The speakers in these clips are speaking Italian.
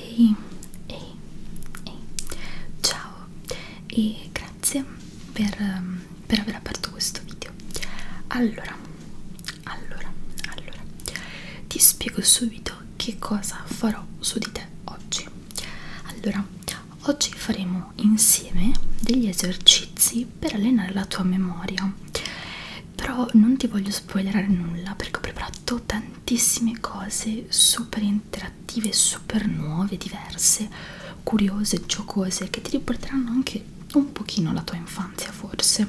Ehi, ehi, ehi, ciao e grazie per, ehm, per aver aperto questo video. Allora, allora, allora, ti spiego subito che cosa farò su di te oggi. Allora, oggi faremo insieme degli esercizi per allenare la tua memoria. Però non ti voglio spoilerare nulla perché ho preparato fatto tantissime cose super interattive, super nuove, diverse, curiose, giocose che ti riporteranno anche un pochino alla tua infanzia forse,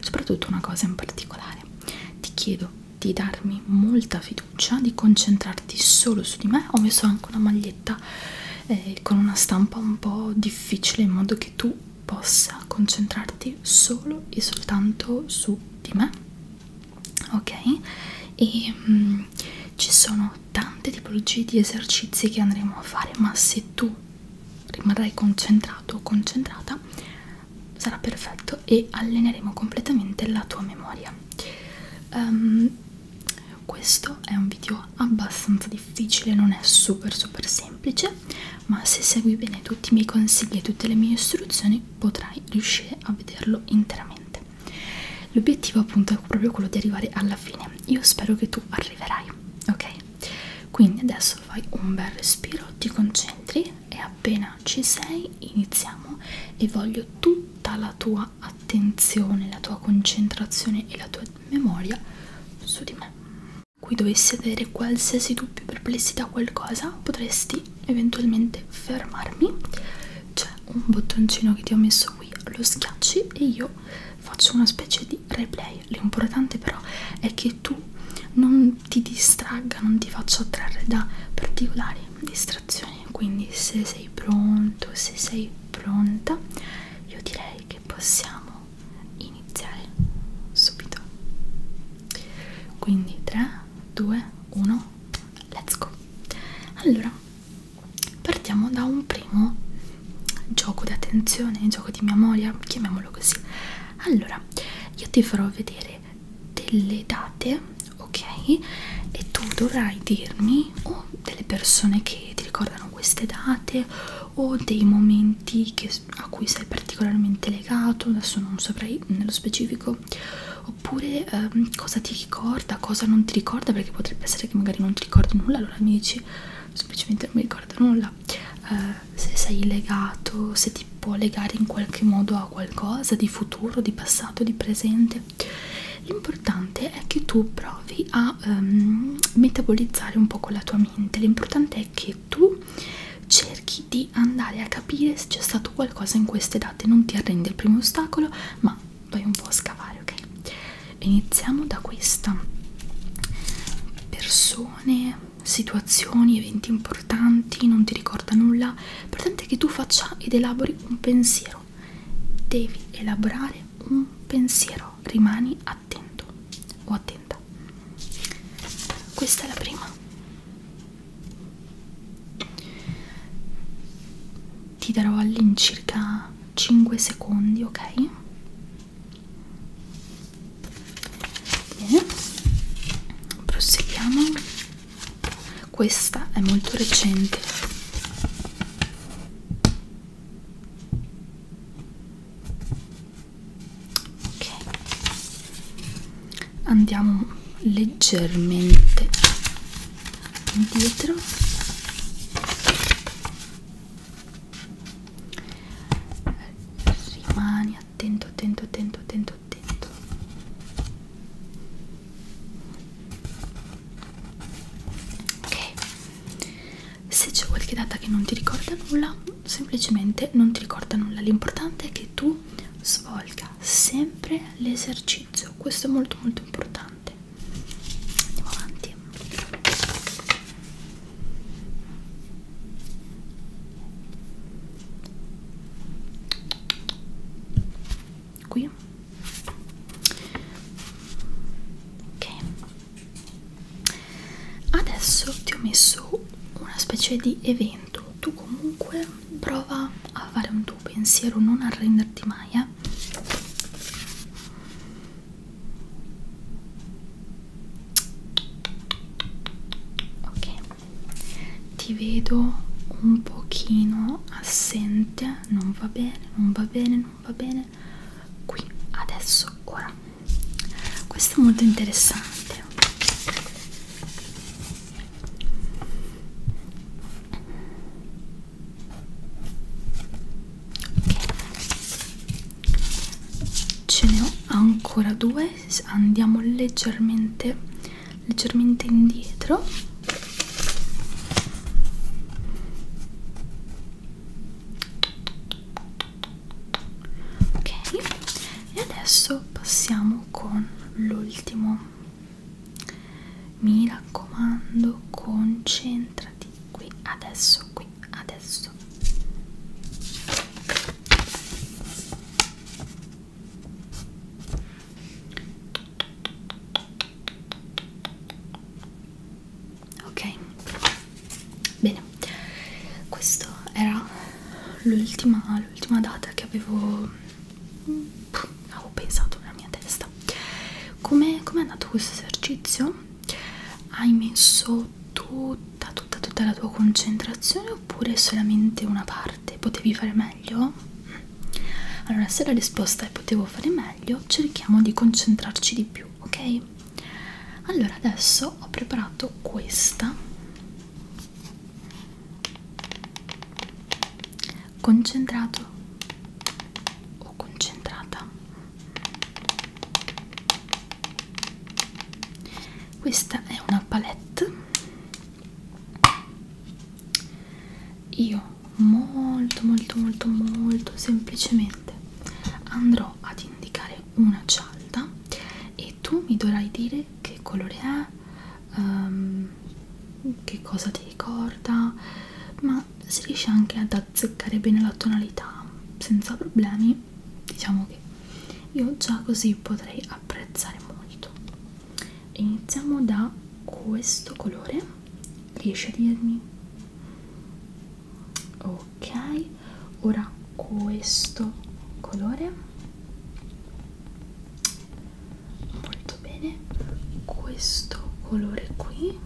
soprattutto una cosa in particolare. Ti chiedo di darmi molta fiducia, di concentrarti solo su di me. Ho messo anche una maglietta eh, con una stampa un po' difficile in modo che tu possa concentrarti solo e soltanto su di me ok e mh, mm, ci sono tante tipologie di esercizi che andremo a fare ma se tu rimarrai concentrato o concentrata sarà perfetto e alleneremo completamente la tua memoria um, questo è un video abbastanza difficile non è super super semplice ma se segui bene tutti i miei consigli e tutte le mie istruzioni potrai riuscire a vederlo interamente. L'obiettivo appunto è proprio quello di arrivare alla fine, io spero che tu arriverai, ok? Quindi adesso fai un bel respiro, ti concentri e appena ci sei iniziamo e voglio tutta la tua attenzione, la tua concentrazione e la tua memoria su di me. Qui dovessi avere qualsiasi dubbio, perplessità, qualcosa, potresti eventualmente fermarmi c'è un bottoncino che ti ho messo qui lo schiacci e io faccio una specie di replay l'importante però è che tu non ti distragga non ti faccia attrarre da particolari distrazioni quindi se sei pronto se sei pronta io direi che possiamo iniziare subito quindi 3 2 1 let's go allora partiamo da un primo gioco d'attenzione gioco di memoria chiamiamolo così allora io ti farò vedere delle date ok e tu dovrai dirmi o delle persone che ti ricordano queste date o dei momenti che a cui sei particolarmente legato, adesso non saprei nello specifico, oppure ehm, cosa ti ricorda, cosa non ti ricorda, perché potrebbe essere che magari non ti ricordi nulla, allora mi dici semplicemente non mi ricorda nulla, eh, se sei legato, se ti può legare in qualche modo a qualcosa di futuro, di passato, di presente. L'importante è che tu provi a ehm, metabolizzare un po' con la tua mente, l'importante è che tu cerchi di di andare a capire se c'è stato qualcosa in queste date non ti arrendi al primo ostacolo ma vai un po' a scavare ok iniziamo da questa persone situazioni eventi importanti non ti ricorda nulla l'importante è che tu faccia ed elabori un pensiero devi elaborare un pensiero rimani attento o attento contenta questa è la prima ti darò all'incirca 5 secondi ok bene proseguiamo questa è molto recente ok andiamo leggermente indietro rimani attento attento attento attento attento ok se c'è qualche data che non ti ricorda nulla semplicemente non ti ricorda nulla l'importante è che tu mano svolga sempre l'esercizio questo è molto molto importante andiamo avanti qui ok adesso ti ho messo una specie di evento momento tu comunque prova a fare un tuo pensiero non arrenderti mai eh? ok ti vedo un pochino assente non va bene non va bene non va bene qui adesso ora questo è molto interessante ce ne ho ancora due andiamo leggermente leggermente indietro ok e adesso passiamo con l'ultimo mi raccomando concentrati qui adesso qui adesso ok bene questo era l'ultima l'ultima data che avevo pff, avevo pensato nella mia testa come com è andato questo esercizio? hai messo tutta tutta tutta la tua concentrazione oppure solamente una parte? potevi fare meglio? allora se la risposta è potevo fare meglio cerchiamo di concentrarci di più ok? allora adesso ho preparato questa Concentrato o concentrata. Questa è una palette. Io molto molto molto molto semplicemente andrò ad indicare una cialda e tu mi dovrai dire che colore è, um, ehm, che cosa ti ricorda, ma si riesce anche ad azzeccare bene la tonalità senza problemi. Diciamo che io già così potrei apprezzare molto. Iniziamo da questo colore. Riesci a dirmi? Ok, ora questo colore molto bene questo colore qui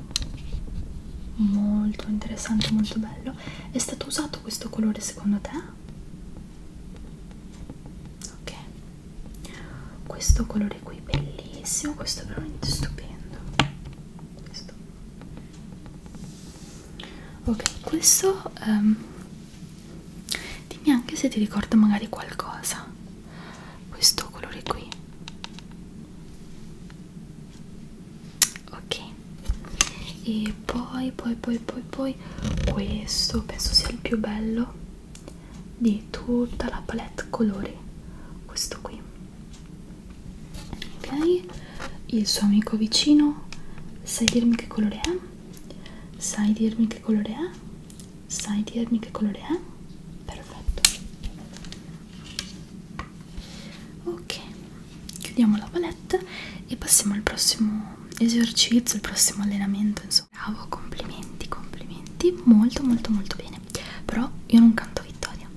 molto interessante molto bello è stato usato questo colore secondo te ok questo colore qui bellissimo questo è veramente stupendo questo ok questo um, dimmi anche se ti ricorda magari qualcosa questo colore qui ok e poi poi poi poi poi questo penso sia il più bello di tutta la palette colori questo qui ok il suo amico vicino sai dirmi che colore è Sai dirmi che colore è? Sai dirmi che colore è? Perfetto. Ok, chiudiamo la palette e passiamo al prossimo esercizio, al prossimo allenamento, insomma. Bravo, complimenti, complimenti. Molto, molto, molto bene. Però io non canto vittoria.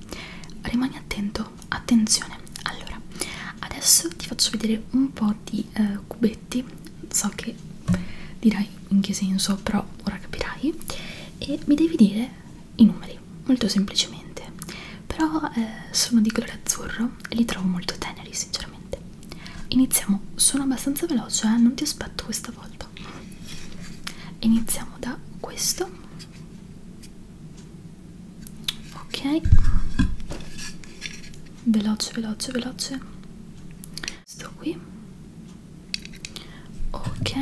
Rimani attento, attenzione. Allora, adesso ti faccio vedere un po' di di eh, cubetti so che dirai in che senso però ora capirai e mi devi dire i numeri molto semplicemente però eh, sono di colore azzurro e li trovo molto teneri sinceramente iniziamo sono abbastanza veloce eh? non ti aspetto questa volta iniziamo da questo ok veloce veloce veloce questo qui ok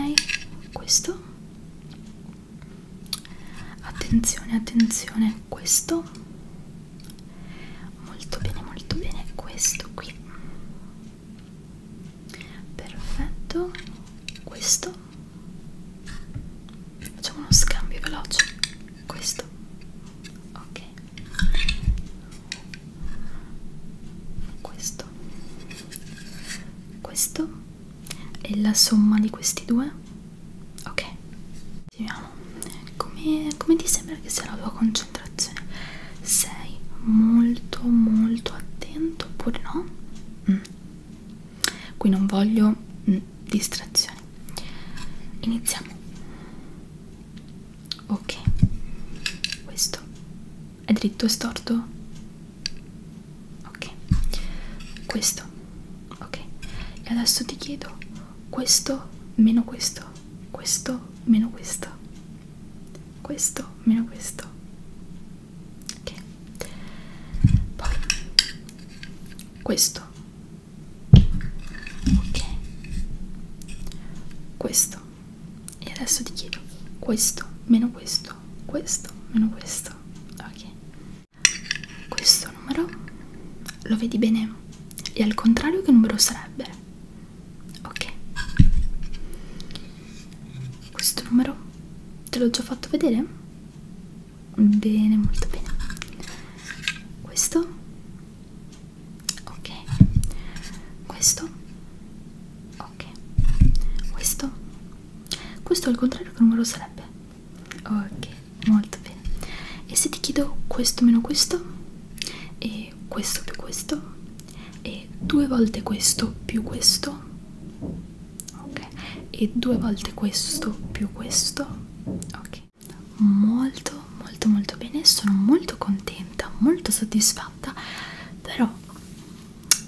questo attenzione attenzione questo molto bene molto bene questo qui perfetto questo facciamo uno scambio veloce questo ok questo questo e la somma di questi due ok continuiamo come, come ti sembra che sia la tua concentrazione sei molto molto attento oppure no mm. qui non voglio mm, distrazioni iniziamo ok questo è dritto e storto ok questo ok e adesso ti chiedo questo meno questo questo meno questo questo meno questo ok poi questo ok questo e adesso ti chiedo questo meno questo questo meno questo ok questo numero lo vedi bene e al contrario che numero sarebbe ok questo numero te l'ho già fatto vedere Bene, molto bene. Questo? Ok. Questo? Ok. Questo? Questo al contrario che numero sarebbe? Ok, molto bene. E se ti chiedo questo meno questo? E questo più questo? E due volte questo più questo? Ok. E due volte questo più questo? Ok molto molto molto bene sono molto contenta molto soddisfatta però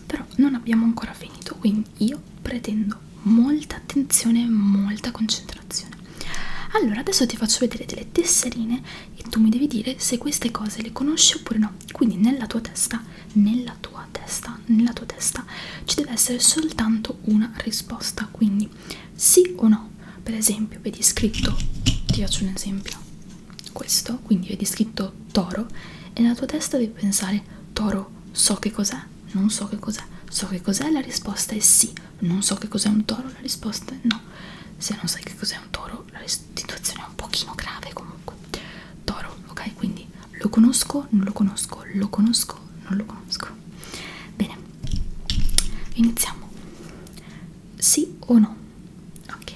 però non abbiamo ancora finito quindi io pretendo molta attenzione e molta concentrazione allora adesso ti faccio vedere delle tesserine e tu mi devi dire se queste cose le conosci oppure no quindi nella tua testa nella tua testa nella tua testa ci deve essere soltanto una risposta quindi sì o no per esempio vedi scritto ti faccio un esempio questo quindi vedi scritto toro e nella tua testa devi pensare toro so che cos'è non so che cos'è so che cos'è la risposta è sì non so che cos'è un toro la risposta è no se non sai che cos'è un toro la situazione è un pochino grave comunque toro ok quindi lo conosco non lo conosco lo conosco non lo conosco bene Iniziamo. Sì o no? Ok.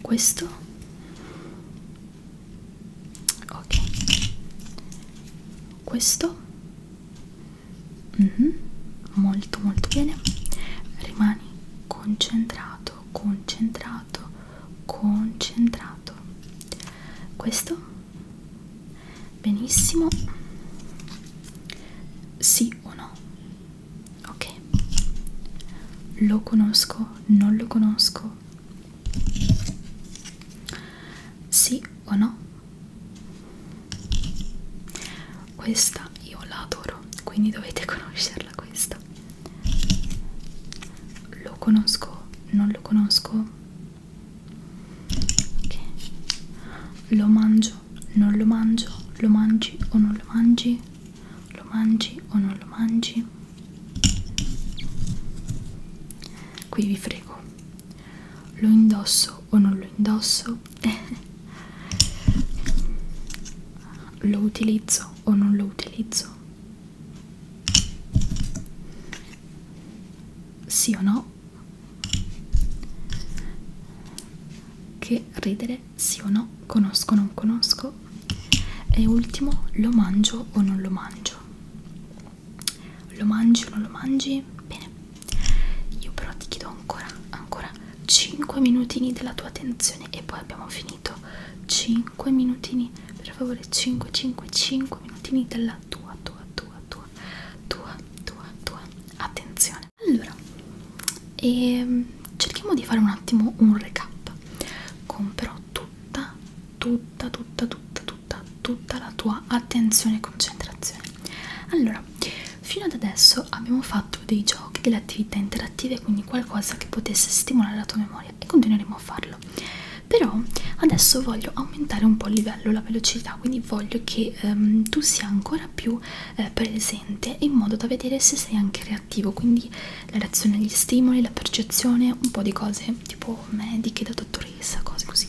Questo? Ok. Questo? Mm -hmm. Molto molto bene. Rimani concentrato, concentrato, concentrato. Questo? benissimo sì o no ok lo conosco non lo conosco sì o no questa io la adoro quindi dovete conoscerla questa lo conosco non lo conosco ok lo mangio non lo mangio lo mangi o non lo mangi lo mangi o non lo mangi qui vi frego lo indosso o non lo indosso lo utilizzo o non lo utilizzo sì o no che ridere, sì o no, conosco o non conosco. E ultimo, lo mangio o non lo mangio. Lo mangi o non lo mangi? Bene. Io però ti chiedo ancora, ancora 5 minutini della tua attenzione e poi abbiamo finito. 5 minutini, per favore, 5, 5, 5 minutini della tua, tua, tua, tua tua, tua, tua, tua attenzione. Allora, e ehm, cerchiamo di fare un attimo un recap. Comprò tutta, tutta, tutta, tutta, tutta, tutta la tua attenzione e concentrazione. Allora, fino ad adesso abbiamo fatto dei giochi, delle attività interattive, quindi qualcosa che potesse stimolare la tua memoria e continueremo a farlo però adesso voglio aumentare un po' il livello, la velocità, quindi voglio che ehm, tu sia ancora più eh, presente in modo da vedere se sei anche reattivo, quindi la reazione agli stimoli, la percezione, un po' di cose tipo mediche, da dottoressa, cose così.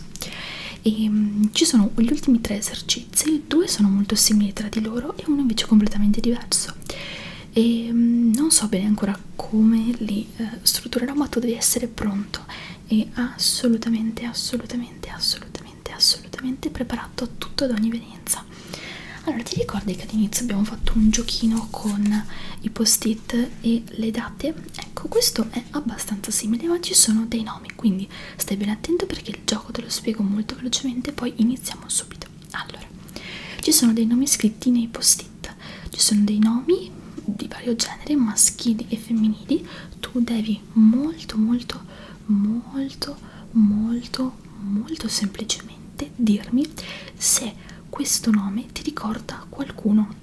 E, ehm, ci sono gli ultimi tre esercizi, due sono molto simili tra di loro e uno invece completamente diverso e ehm, non so bene ancora come li eh, strutturerò ma tu devi essere pronto e assolutamente assolutamente assolutamente assolutamente preparato a tutto ad ogni evenienza allora ti ricordi che all'inizio abbiamo fatto un giochino con i post-it e le date ecco questo è abbastanza simile ma ci sono dei nomi quindi stai ben attento perché il gioco te lo spiego molto velocemente poi iniziamo subito allora ci sono dei nomi scritti nei post-it List ci sono dei nomi di vario genere maschili e femminili tu devi molto molto molto molto molto semplicemente dirmi se questo nome ti ricorda qualcuno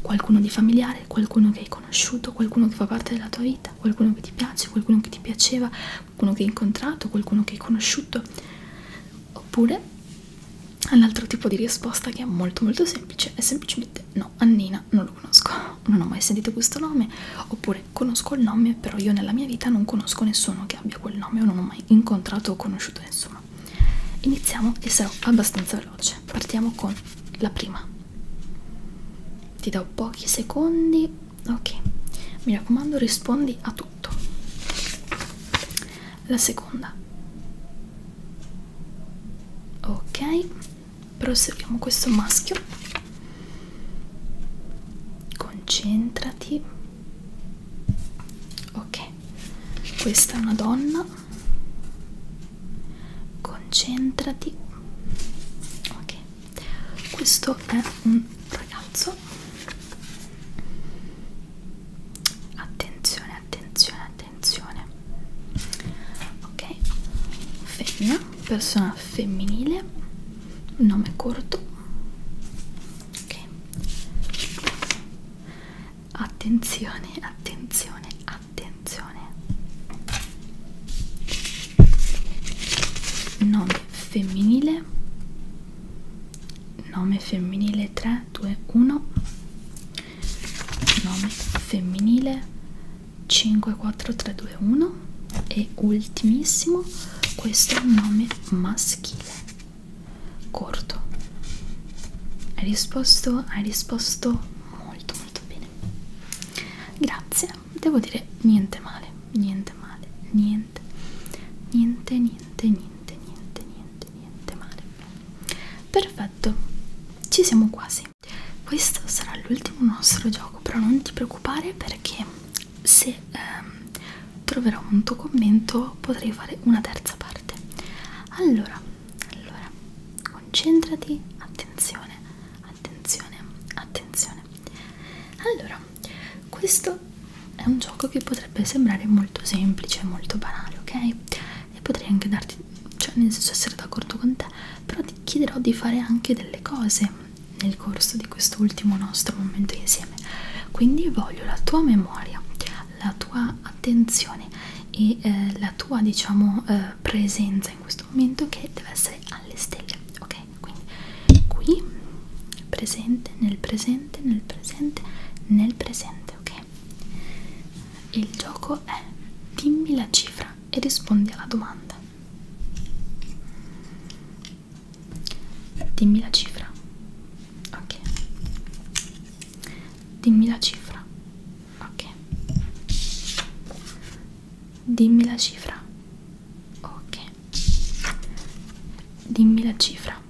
qualcuno di familiare qualcuno che hai conosciuto qualcuno che fa parte della tua vita qualcuno che ti piace qualcuno che ti piaceva qualcuno che hai incontrato qualcuno che hai conosciuto oppure all'altro tipo di risposta che è molto molto semplice è semplicemente no, Annina non lo conosco, non ho mai sentito questo nome oppure conosco il nome però io nella mia vita non conosco nessuno che abbia quel nome o non ho mai incontrato o conosciuto nessuno iniziamo e sarò abbastanza veloce partiamo con la prima ti do pochi secondi ok mi raccomando rispondi a tutto la seconda ok proseguiamo questo maschio concentrati ok questa è una donna concentrati ok questo è un ragazzo attenzione attenzione, attenzione. Ok, femmina, persona femminile, nome corto. Ok, attenzione, attenzione, attenzione. Nome femminile, nome femminile 3, 2, 1 nome femminile 54321 e ultimissimo questo è un nome maschile corto hai risposto hai risposto molto molto bene grazie devo dire niente male niente male niente niente niente niente niente niente niente male perfetto Perfetto, ci siamo quasi. Questo sarà l'ultimo nostro gioco, però non ti preoccupare perché se ehm, troverò un tuo commento potrei fare una terza parte. Allora, allora, concentrati, attenzione, attenzione, attenzione. Allora, questo è un gioco che potrebbe sembrare molto semplice, molto banale, ok? e potrei anche darti, cioè nel senso essere d'accordo con te, però ti chiederò di fare anche delle cose nel corso di quest'ultimo nostro momento insieme. Quindi voglio la tua memoria, la tua attenzione e eh, la tua diciamo eh, presenza in questo momento che deve essere alle stelle, ok? Quindi qui presente, nel presente, nel presente, nel presente, ok? perché il gioco è dimmi la cifra e rispondi alla domanda dimmi la cifra ok dimmi la cifra ok dimmi la cifra ok dimmi la cifra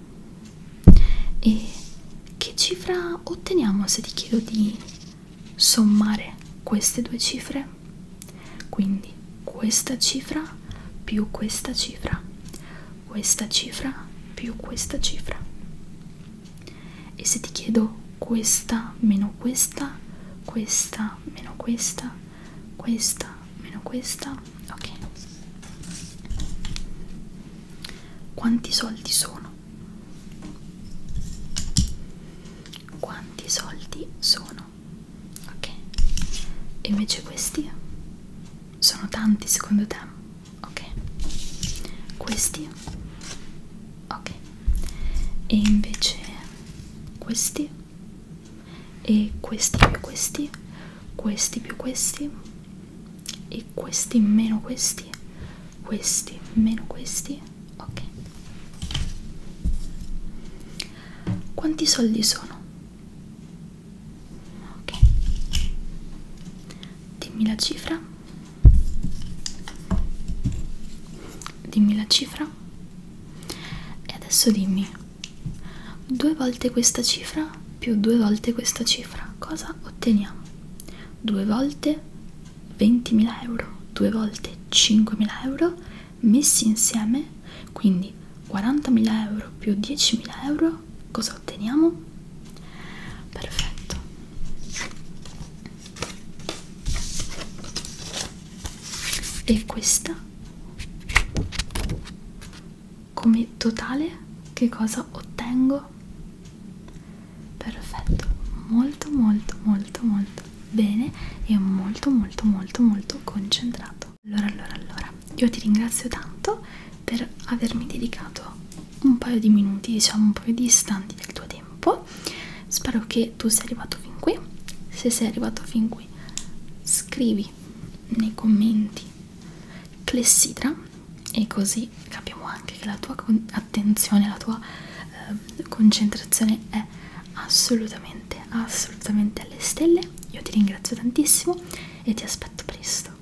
e che cifra otteniamo se ti chiedo di sommare queste due cifre quindi questa cifra più questa cifra questa cifra più questa cifra e se ti chiedo questa meno questa questa meno questa questa meno questa ok quanti soldi sono quanti soldi sono ok e invece questi sono tanti secondo te ok questi ok e invece questi e questi più questi questi più questi e questi meno questi questi questi meno questi ok quanti soldi sono ok dimmi la cifra dimmi la cifra e adesso dimmi due volte questa cifra più due volte questa cifra cosa otteniamo due volte 20.000 euro due volte 5.000 euro messi insieme quindi 40.000 euro più 10.000 euro cosa otteniamo? perfetto e questa come totale che cosa ottengo? perfetto molto molto molto molto bene e molto molto molto molto concentrato allora allora allora io ti ringrazio tanto per avermi dedicato un paio di minuti diciamo un paio di istanti del tuo tempo spero che tu sia arrivato fin qui se sei arrivato fin qui scrivi nei commenti clessidra e così capiamo anche che la tua attenzione, la tua eh, concentrazione è assolutamente, assolutamente alle stelle. Io ti ringrazio tantissimo e ti aspetto presto.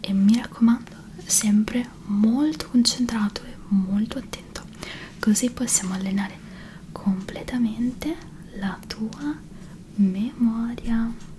E mi raccomando, sempre molto concentrato e molto attento, così possiamo allenare completamente la tua memoria.